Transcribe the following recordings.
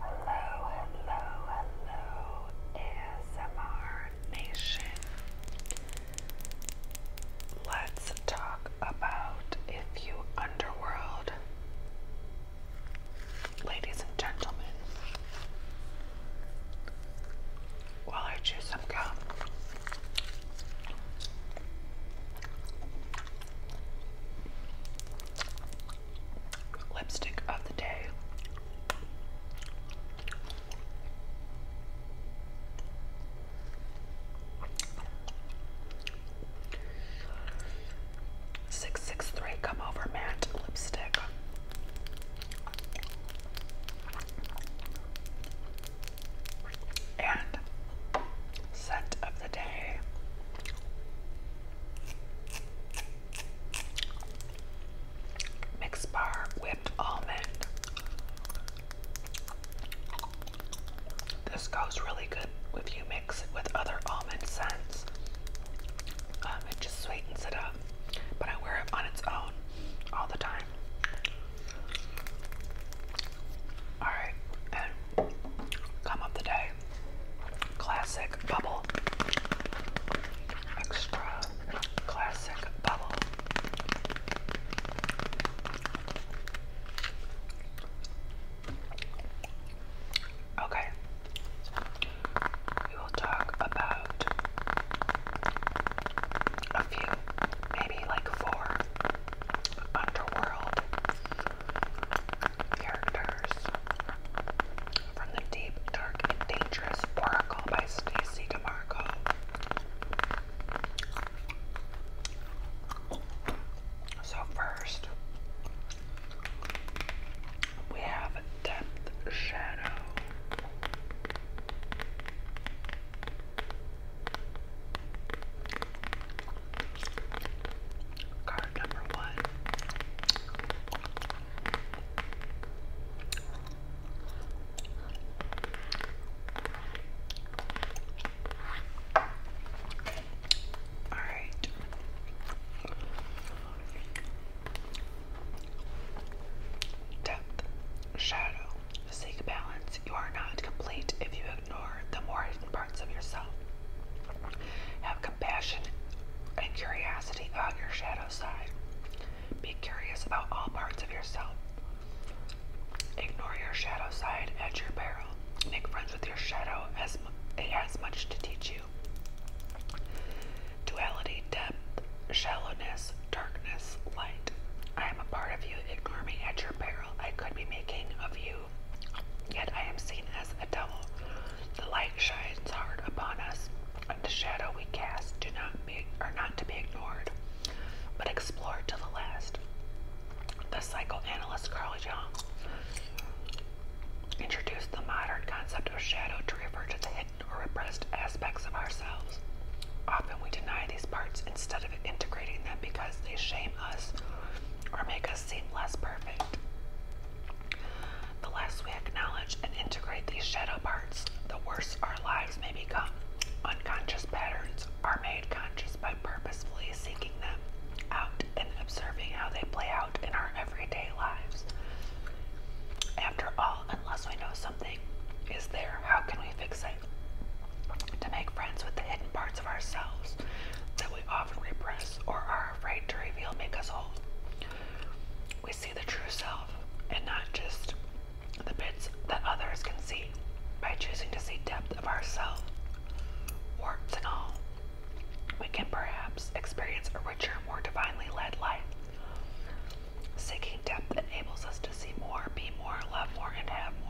Hello, hello, hello, ASMR Nation. Let's talk about if you underworld, ladies and gentlemen. While I chew some gum lipstick of the day. Six six three come over Matt. lipstick. And scent of the day Mixed bar whipped almond. This goes really good if you mix it with other almond scents. Um, it just sweetens it up. But I wear it on its own all the time. Alright, Come of the Day. Classic Bubble. Extra Classic Bubble. Okay. We will talk about a few, maybe like four underworld characters from the deep, dark, and dangerous Oracle by Stacy DeMarco. So first, we have Depth Shadow. Card number one. All right. Depth, shadow, seek balance. You are not complete if you have ignore the more hidden parts of yourself. Have compassion and curiosity on your shadow side. Be curious about all parts of yourself. Ignore your shadow side at your peril. Make friends with your shadow as it has much to teach you. Duality, depth, shallowness, darkness, light. I am a part of you. Ignore me at your peril. I could be making of you yet I am seen as a devil. The light shines hard upon us, and the shadow we cast do not be, are not to be ignored, but explored to the last. The psychoanalyst Carl Jung introduced the modern concept of shadow to refer to the hidden or repressed aspects of ourselves. Often we deny these parts instead of integrating them because they shame us or make us just less perfect. The less we acknowledge and integrate these shadow parts, the worse our lives may become. Unconscious patterns are made conscious by purposefully seeking them out and observing how they play out in our everyday lives. After all, unless we know something is there, how can we fix it? To make friends with the hidden parts of ourselves that we often repress or are afraid to reveal make us whole. We see the true self and not just the bits that others can see by choosing to see depth of ourself, warts and all. We can perhaps experience a richer, more divinely led life. Seeking depth enables us to see more, be more, love more, and have more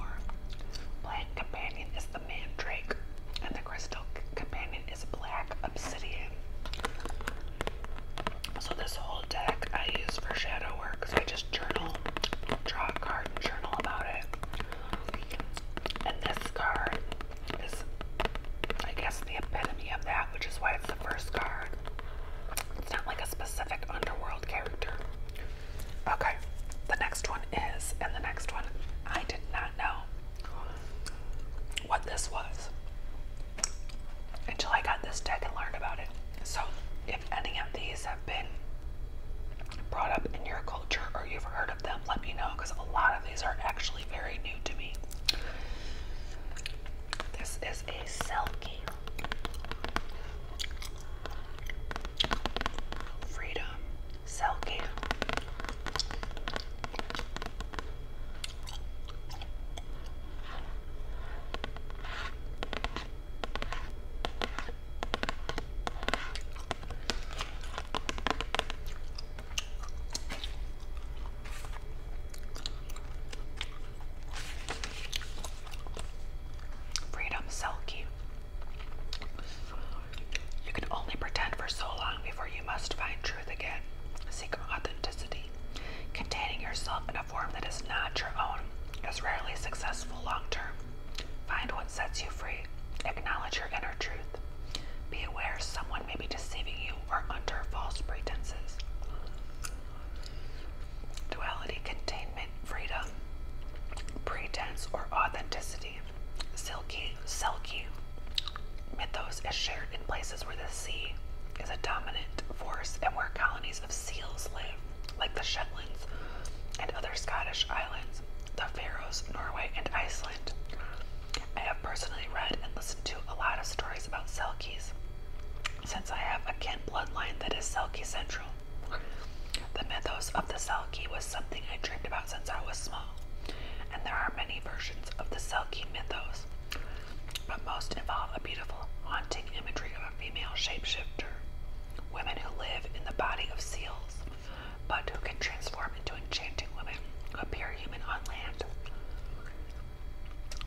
companion is the mandrake, and the crystal companion is black obsidian. So this whole deck I use for shadow work because I just journal, draw a card journal about it. And this card is, I guess, the epitome of that, which is why it's the first card. It's not like a specific underworld character. Okay, the next one is, and the next one I did not know what this was until I got this deck and learned about it. So, if any of these have been brought up in your culture or you've heard of them, let me know because a lot of these are actually very new to me. This is a Selkie Freedom silky. Freedom Silky. You can only pretend for so long before you must find truth again. Seek authenticity. Containing yourself in a form that is not your own is rarely successful long term. Find what sets you free. Acknowledge your inner truth. Be aware someone may be deceiving you or under false pretenses. Duality, containment, freedom, pretense, or authenticity. Silky, silky mythos is shared in places where the sea is a dominant force and where colonies of seals live, like the Shetlands and other Scottish islands, the Faroes, Norway, and Iceland. I have personally read and listened to a lot of stories about Selkies, since I have a kin bloodline that is Selkie Central. The mythos of the Selkie was something I dreamed about since I was small, and there are many versions of the Selkie mythos, but most involve a beautiful, haunting imagery of a female shapeshifter, women who live in the body of seals, but who can transform into enchanting women who appear human on land.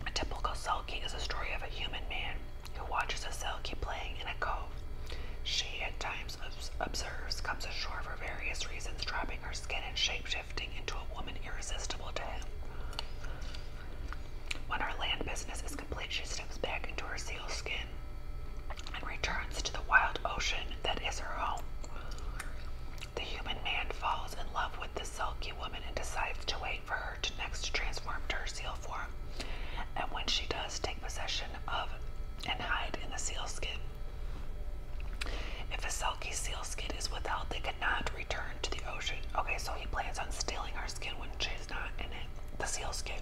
A typical Selkie is a story of a human man who watches a Selkie playing in a cove. She, at times, observes comes ashore for various reasons, dropping her skin and shape-shifting into a woman irresistible to him. When her land business is complete, she steps back into her seal skin and returns to the wild ocean that is her home. The human man falls in love with the sulky woman and decides to wait for her to next transform to her seal form. And when she does take possession of and hide in the sealskin. If a Selkie sealskin is without, they cannot return to the ocean. Okay, so he plans on stealing our skin when she's not in it. The sealskin.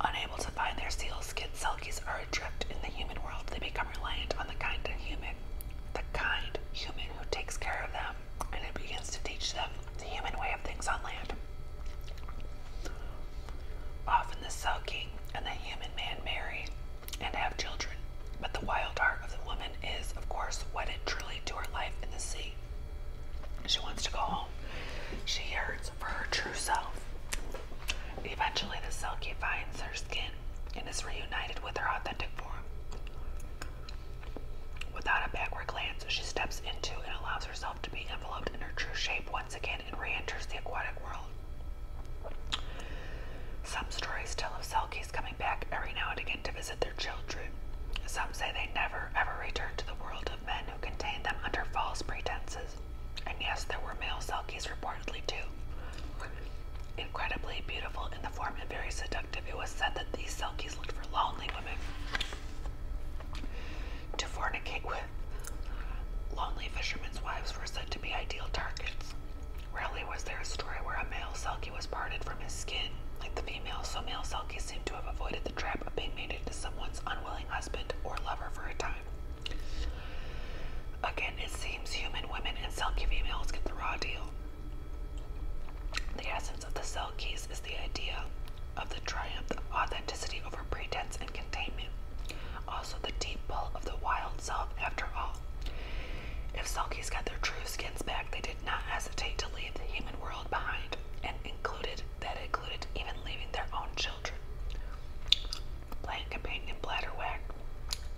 Unable to find their sealskin, Selkies are adrift in the human world. They become reliant on the kind human, the kind human who takes care of them, and it begins to teach them the human way of things on land. Often the sulking and the human man marry and have children, but the wild heart of the woman is, of course, wedded truly to her life in the sea. She wants to go home. She yearns for her true self. Eventually, the Selkie finds her skin and is reunited with her authentic form. Without a backward glance, she steps into and allows herself herself to be enveloped in her true shape once again and re enters the aquatic world. Some stories tell of Selkies coming back every now and again to visit their children. Some say they never ever return to the world of men who contain them under false pretenses. And yes, there were male Selkies reportedly too. Incredibly beautiful in the form and very seductive, it was said that these Selkies looked for lonely women to fornicate with. Lonely fishermen's wives were said to be ideal targets. Rarely was there a story where a male selkie was parted from his skin like the female, so male selkies seem to have avoided the trap of being mated to someone's unwilling husband or lover for a time. Again, it seems human women and selkie females get the raw deal. The of the cell case is the idea of the triumph of authenticity over pretense and containment, also the deep pull of the wild self after all. If Selkies got their true skins back, they did not hesitate to leave the human world behind, and included that included even leaving their own children. Plant companion bladderwhack,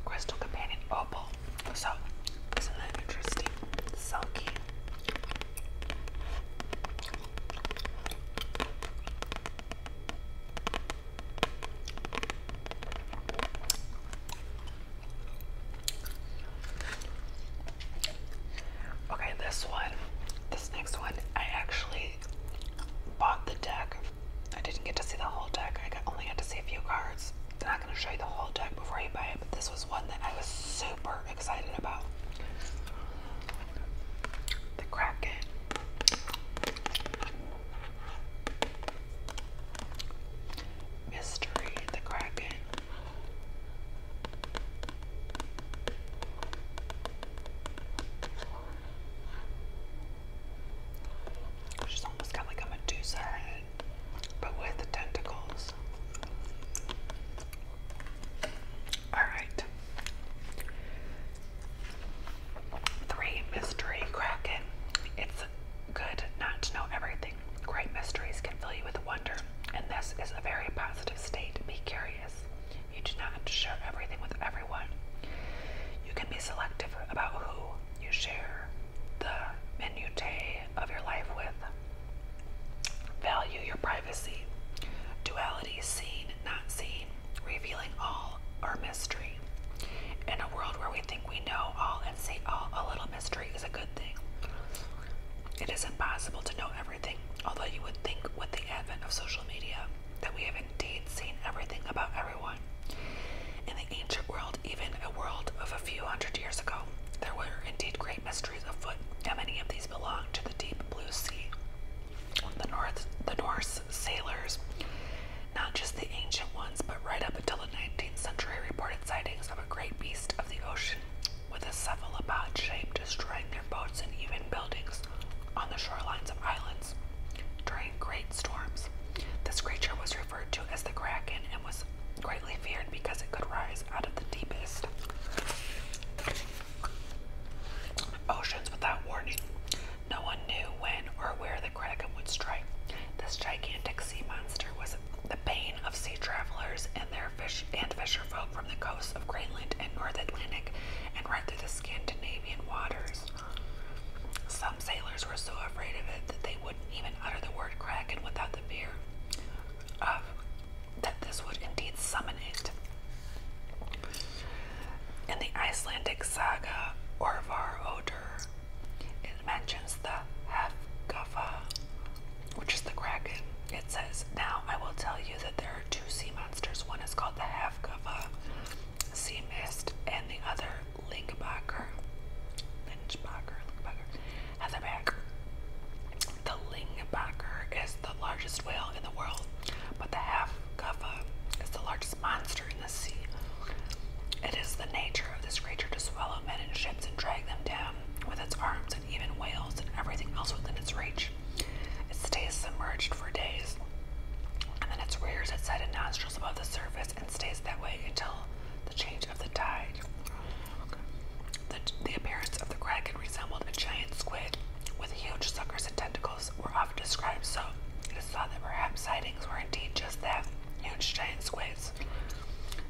crystal companion opal. So, isn't that interesting? Selkie Okay, this one, this next one, I actually bought the deck. I didn't get to see the whole deck. I only got to see a few cards. I'm not going to show you the whole deck before you buy but this was one that I was super excited about. The Kraken. Mystery, the Kraken. She's almost got like a Medusa but with tentacles. All right. Three mystery kraken. It's good not to know everything. Great mysteries can fill you with wonder, and this is a very positive state. Be curious. You do not have to share everything with everyone. You can be selective about who you share the minutiae of your life with. Value your privacy. Duality seen, not seen, revealing all our mystery. In a world where we think we know all and see all, a little mystery is a good thing. It is impossible to know everything, although you would think with the advent of social media that we have indeed seen everything about everyone. In the ancient world, even a world of a few hundred years ago, there were indeed great mysteries. How many of these belong to the deep blue sea? The the Norse sailors, not just the ancient ones, but right up until the 19th century, reported sightings of a great beast of the ocean with a cephalopod shape destroying their boats and even buildings on the shorelines of islands during great storms. This creature was referred to as the Kraken and was greatly feared because it could rise out of the deepest oceans without warning. No one knew when or where the kraken would strike. This gigantic sea monster was the bane of sea travelers and their fish and fisher from the coasts of Greenland and North Atlantic and right through the Scandinavian waters. Some sailors were so afraid of it that they wouldn't even utter the word kraken without the fear that this would indeed summon it. In the Icelandic saga Orvar it mentions the Hefgafa, which is the kraken. It says, Now I will tell you that there are two sea monsters. One is called the Hefgafa, sea mist, and the other Lingbacher. Lynchbacher, Lingbacher has a back. The lingbacker is the largest whale in the world, but the half is the largest monster in the sea. It is the nature of this creature to swallow men and ships and drag them down with its arms and even whales and everything else within its reach. It stays submerged for days, and then it rears its head and nostrils above the surface and stays that way until the change of the tide. The, the appearance of the kraken resembled a giant squid with huge suckers and tentacles were often described, so it is thought that perhaps sightings were indeed just that huge giant squids.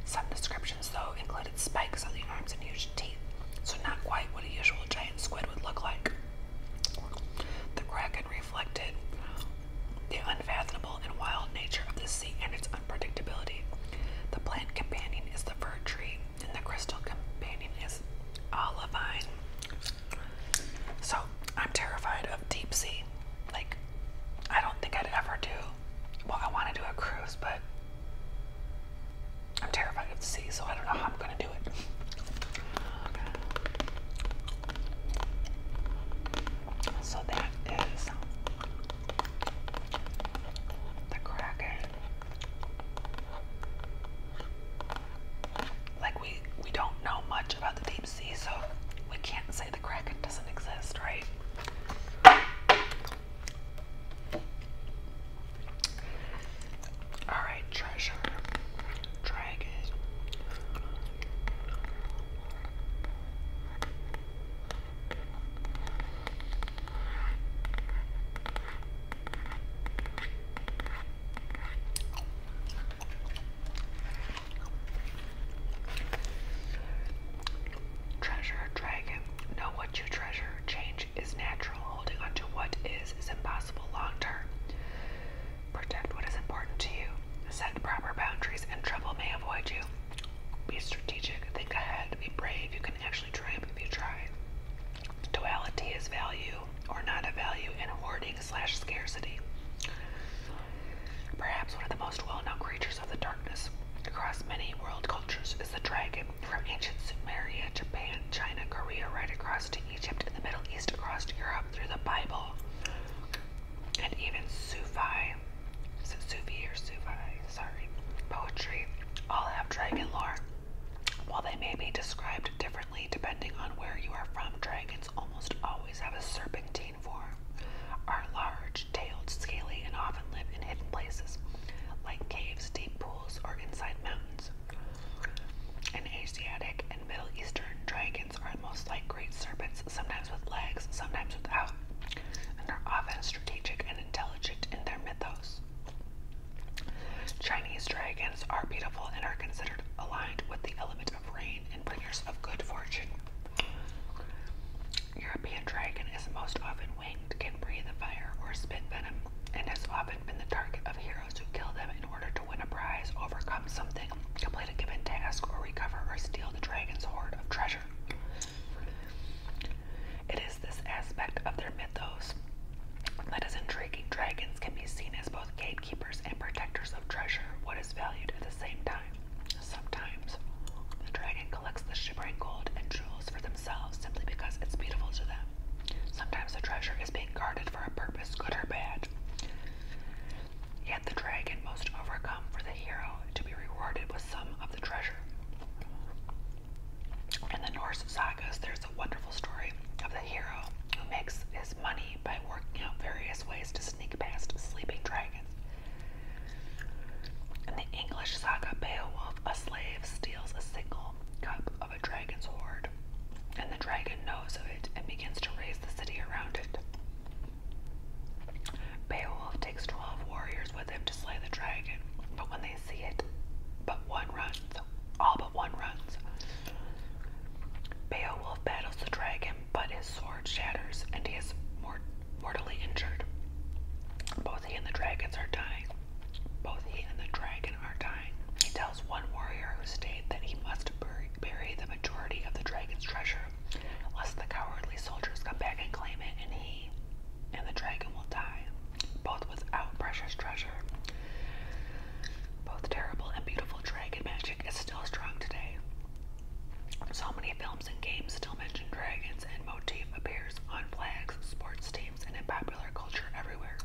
Some descriptions, though, included spikes on the arms and huge teeth, so not quite what a usual giant squid would look like. The kraken reflected the unfathomable and wild nature of the sea and its unpredictability. The plant companion is the fir tree, and the crystal companion is olivine. So I'm terrified of deep sea. Like, I don't think I'd ever do. Well, I want to do a cruise, but I'm terrified of the sea, so I don't know how I'm going to do it. So that is the Kraken. Like we we don't know much about the deep sea, so we can't say the Kraken doesn't exist, right? All right, treasure, dragon. Treasure a dragon. Know what you treasure. Change is natural. Holding on to what is is impossible long term. Protect what is important to you. Set proper boundaries and trouble may avoid you. Be strategic, think ahead, be brave. You can actually triumph if you try. Duality is value or not a value and hoarding slash scarcity. Perhaps one of the most well-known creatures of the darkness across many world cultures is the dragon, from ancient Sumeria, Japan, China, Korea, right across to Egypt and the Middle East, across to Europe, through the Bible, and even Sufi is it or sufi, Sorry. Poetry all have dragon lore. While they may be described differently depending on where you are from, dragons almost always have a serpentine form, are large, tailed, scaly, and often live in hidden places, like caves, deep pools, or inside mountains. In Asiatic and Middle Eastern, dragons are most like great serpents, sometimes with legs, sometimes without, and are often strategic and intelligent in their mythos. Chinese dragons are beautiful and are considered aligned with the element of rain and bringers of good fortune. European dragon is most often winged, can breathe fire or spit venom, and has often been the target of heroes who kill them in order to win a prize, overcome something, complete a given task, or recover or steal the dragon's hoard of treasure. It is this aspect of their mythos that is intriguing. Dragons can be seen as both gatekeepers and protectors of treasure, what is valued at the same time. Sometimes the dragon collects the shimmering gold and jewels for themselves simply because it's beautiful to them. Sometimes the treasure is being guarded for a purpose, good or bad. Yet the dragon must overcome for the hero to be rewarded with some of the treasure. In the Norse sagas, there's a wonderful story of the hero who makes his money by working out various ways to sneak past sleeping dragons. In the English saga Beowulf, a slave steals a single cup of a dragon's hoard, and the dragon knows of it and begins to raise the city around it. Beowulf takes 12 warriors with him to slay the dragon, but when they see it, but one runs. All but one runs. Beowulf battles the dragon, but his sword shatters and he is mort mortally injured. Both he and the dragons are dying. Both he and the dragon are dying. He tells one warrior who stayed that he must bury, bury the majority of the dragon's treasure Unless the cowardly soldiers come back and claim it, and he and the dragon will die, both without precious treasure. Both terrible and beautiful dragon magic is still strong today. So many films and games still mention dragons, and motif appears on flags, sports teams, and in popular culture everywhere.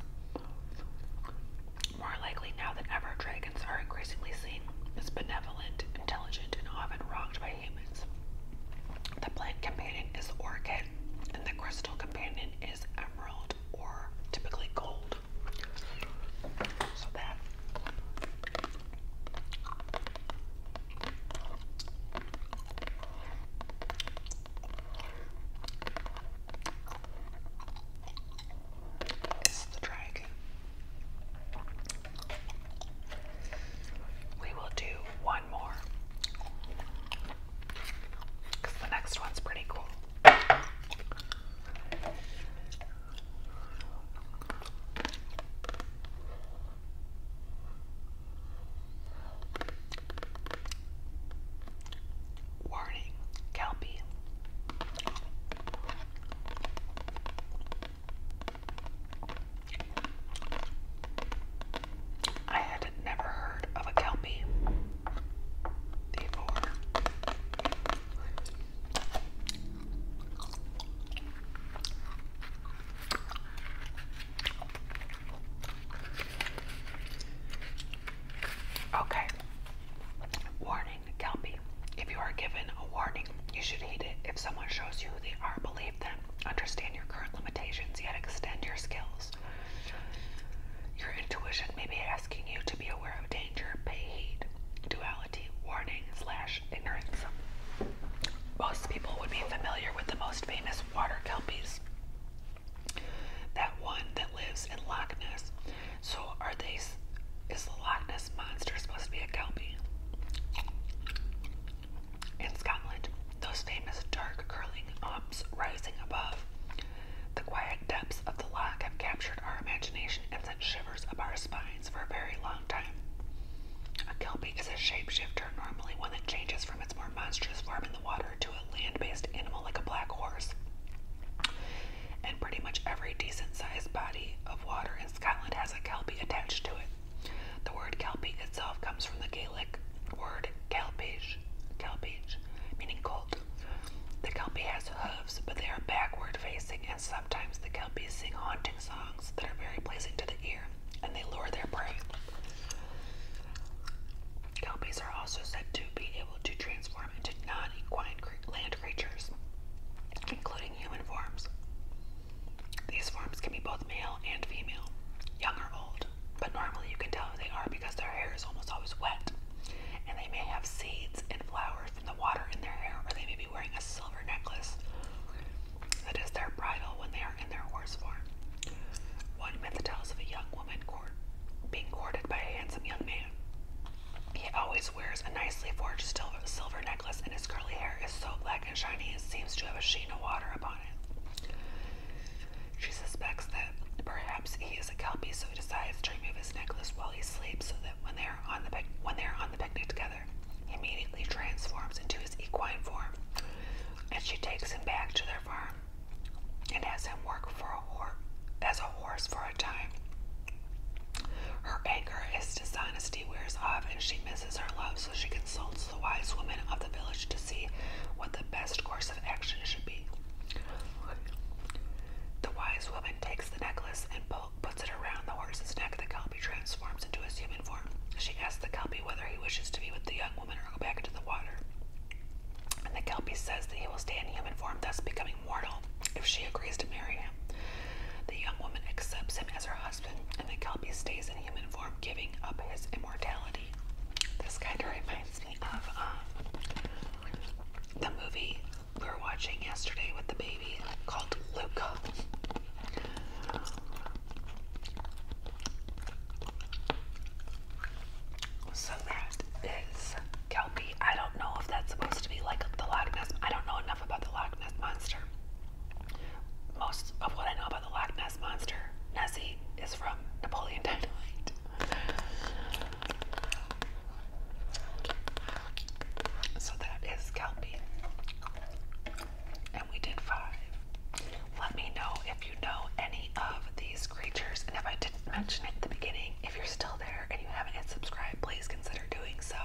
More likely now than ever, dragons are increasingly seen as benevolent intelligent, and often rocked by humans. The plant companion is orchid, and the crystal companion is emerald or typically gold. So that is the dragon. We will do one more. Because the next one's pretty cool. Warning, Kelpie. I had never heard of a Kelpie before. Okay. Warning warning, Kelpie. If you are given a warning, you should heed it. If someone shows you they are, believed, then Understand your current limitations, yet extend your skills. Your intuition may be asking you to be aware of danger. Pay heed. Duality, warning, slash ignorance. Most people would be familiar with the most famous water kelpies. That one that lives in Loch Ness so are these Is the Loch Ness monster supposed to be a kelpie? In Scotland, those famous dark curling umps rising above the quiet depths of the loch have captured our imagination and sent shivers up our spines for a very long time. A kelpie is a shapeshifter, normally one that changes from its more monstrous form in the water to a land-based animal like a black horse and pretty much every decent sized body of water in Scotland has a kelpie attached to it. The word kelpie itself comes from the Gaelic word kelpage, kelpage, meaning colt. The kelpie has hooves, but they are backward facing, and sometimes the kelpies sing haunting songs that are very pleasing to the ear, and they lure their prey. Kelpies are also said to be able to transform into non equine land land creatures, including human forms. These forms can be both male and female, young or old, but normally you can tell who they are because their hair is almost always wet, and they may have seeds and flowers from the water in their hair, or they may be wearing a silver necklace that is their bridle when they are in their horse form. One myth tells of a young woman court, being courted by a handsome young man. He always wears a nicely forged silver necklace, and his curly hair is so black and shiny it seems to have a sheen of water upon it. She suspects that perhaps he is a kelpie, so he decides to remove his necklace while he sleeps, so that when they are on the when they are on the picnic together, he immediately transforms into his equine form, and she takes him back to their farm and has him work for a horse as a horse for her anger is at dishonesty wears off, and she misses her love, so she consults the wise woman of the village to see what the best course of action should be. The wise woman takes the necklace and puts it around the horse's neck. The kelpie transforms into his human form. She asks the kelpie whether he wishes to be with the young woman or go back into the water. And the kelpie says that he will stay in human form, thus becoming mortal, if she agrees to marry him. The young woman accepts him as her husband, and the Kelpie stays in human form, giving up his immortality. This kind of reminds me of um, the movie we were watching yesterday with the baby called Luca. So that is I don't know if that's supposed to be like the Loch Ness. I don't know enough about the Loch Ness monster. Most of what I know about the Loch Ness monster, Nessie, is from Napoleon Dynamite. So that is kelpie. And we did five. Let me know if you know any of these creatures. And if I didn't mention it at the beginning, if you're still there and you haven't hit subscribe, please that are doing so.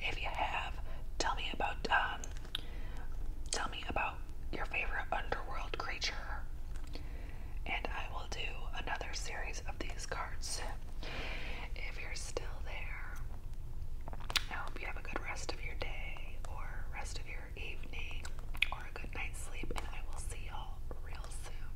If you have, tell me about um, tell me about your favorite underworld creature, and I will do another series of these cards. If you're still there, I hope you have a good rest of your day or rest of your evening or a good night's sleep, and I will see y'all real soon.